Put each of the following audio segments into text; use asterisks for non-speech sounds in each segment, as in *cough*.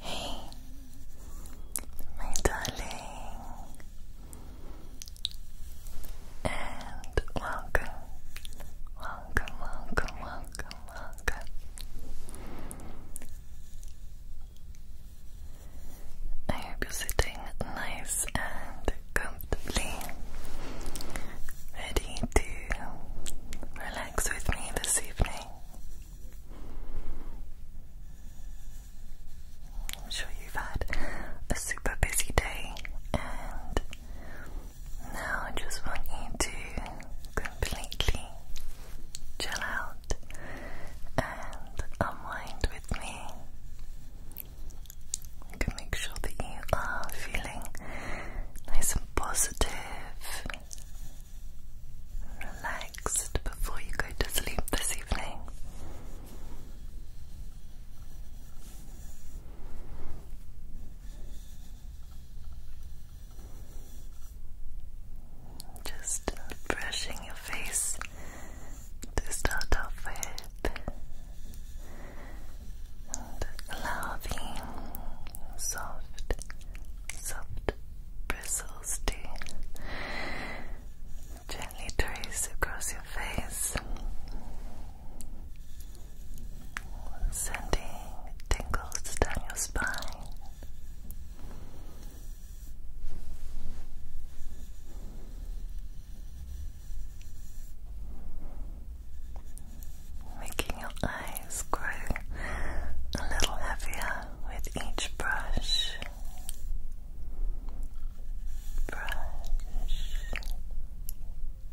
Hey, my darling, and welcome, I hope you're sitting nice and comfortably, ready to relax with me this evening. I'm sure you've had a super busy day and now I just want you to completely chill out and unwind with me. To make sure that you are feeling nice and positive and relaxed before you go to sleep this evening. Just brushing your face to start off with, and allow the soft, soft bristles to gently trace across your face sending tingles down your spine. Making your eyes grow a little heavier with each brush. Brush,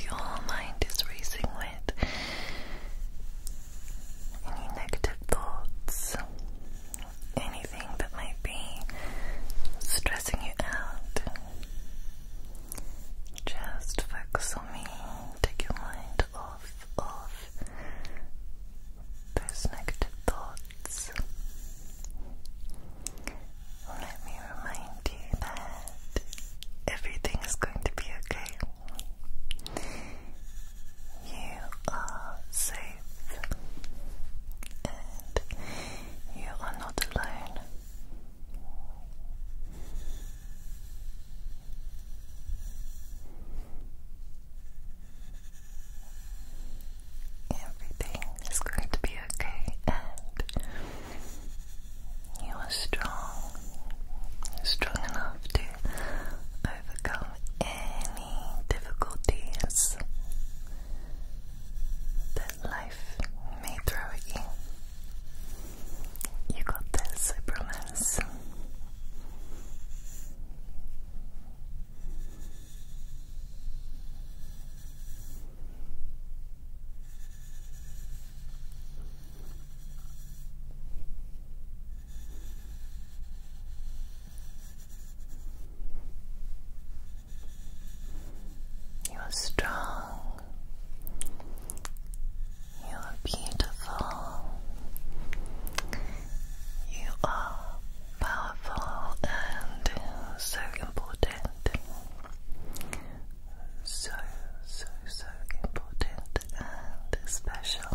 If your mind is racing any negative thoughts? Anything that might be stressing you out? Just focus on me. Take your mind off of those negative thoughts. Let me remind you that everything is going to be okay. You are safe and you are not alone. Everything is going to be okay, you are strong, strong enough to overcome any difficulties that life may throw at you. You got this, I you are strong. You are beautiful. You are powerful and so important so, so, so important and special.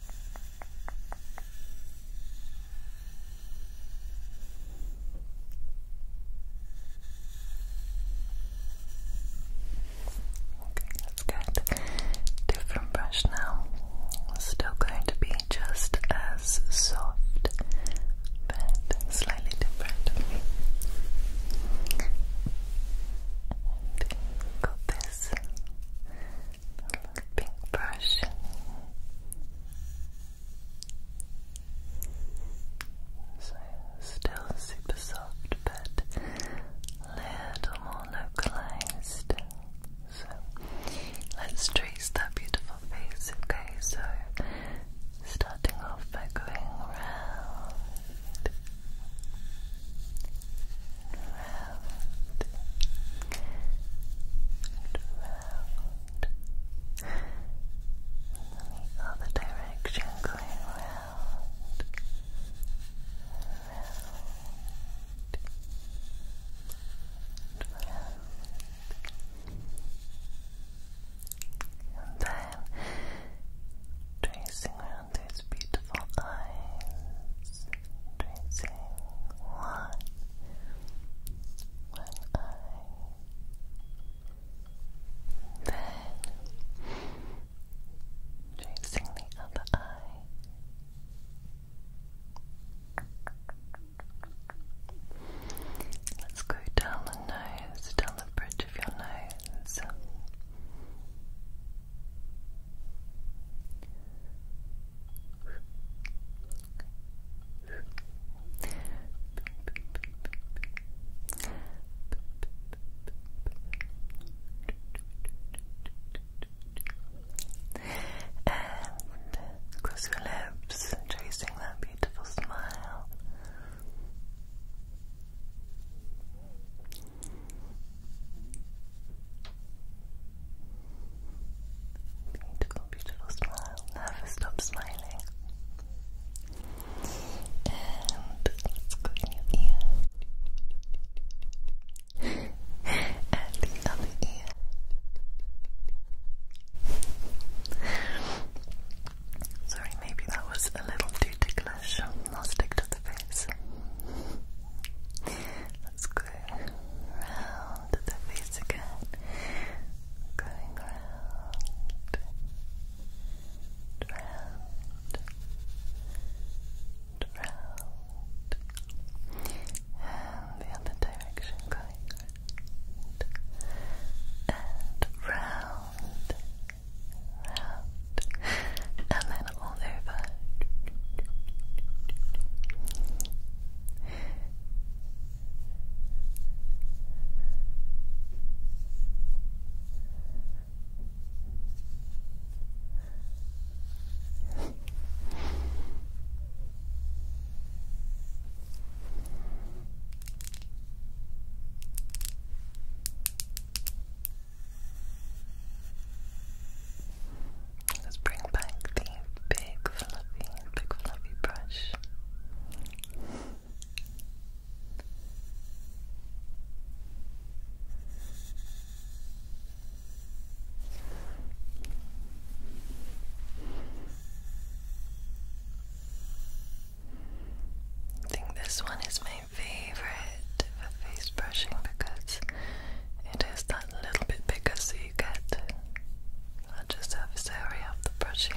Okay, let's different brush now. still going to be just as soft, but slightly different. got this this little pink brush. So still super soft, but little more localized. So let's trace that beautiful face, okay? So starting off by going round and the direction going round, round, round. And then tracing around down beautiful eyes, tracing one, one eye, then tracing the other eye. Let's go down the nose, down the bridge of your nose. And close your lips, tracing that beautiful smile. Beautiful, beautiful smile. Never stop smiling. And let's go in your ear. *laughs* and the other ear. Sorry, maybe that was a little too ticklish. I'll stick to the face. Let's go round the face again. Going round, round, round, and the other direction. Going round and round round, and then all over. Let's bring back the big fluffy, big fluffy brush. I think this one is my my favorite for face brushing because it is that little bit bigger so you get larger surface area of the brushing.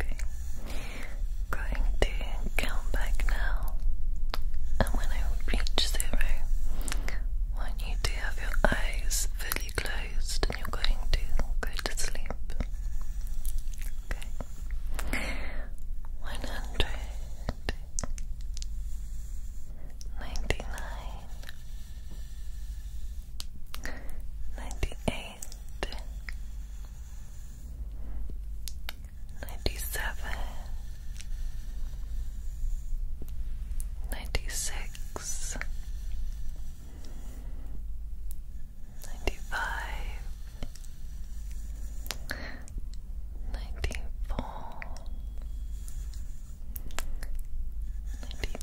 Okay. Going to count back now. And when I reach zero, I want you to have your eyes fully closed and you're going to go to sleep. Okay. 100 ninety-eight, ninety-seven, ninety-six, ninety-five, ninety-four, ninety-three. 93 92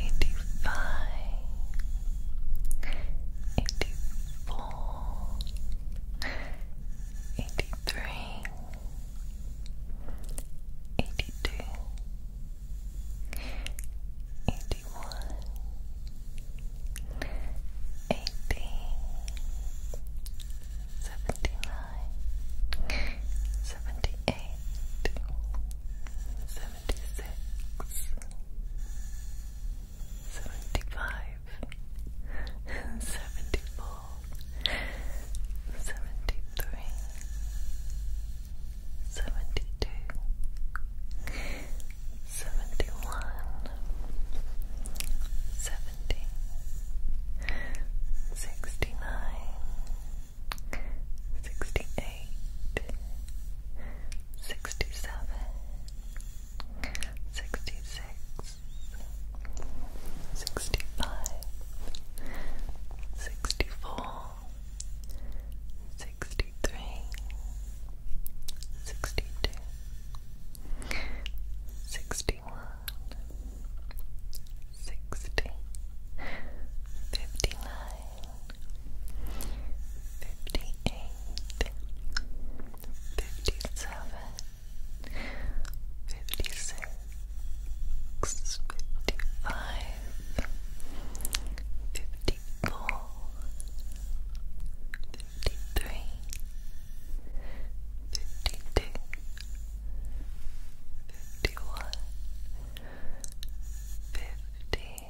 eighty-five, eighty-four, eighty-three, eighty-two, eighty-one, eighty, seventy-nine, seventy-eight. 79 76 75 74 73 72 71 70 69 sixty-eight, sixty-seven, sixty-six, sixty-five, sixty-four, sixty-three, sixty-two, sixty-one, sixty, fifty-nine fifty-eight, fifty-seven, fifty-six, fifty-five, fifty-four, fifty-three, fifty-two, fifty-one, fifty.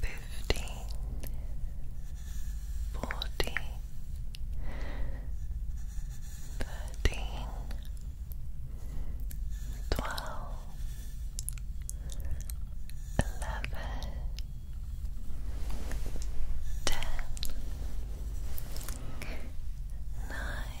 fifteen, fourteen, thirteen, twelve, eleven, ten, nine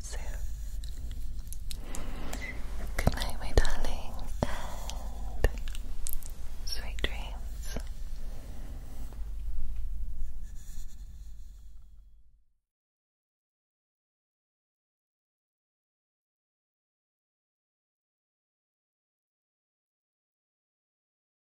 So, good my darling, and sweet dreams.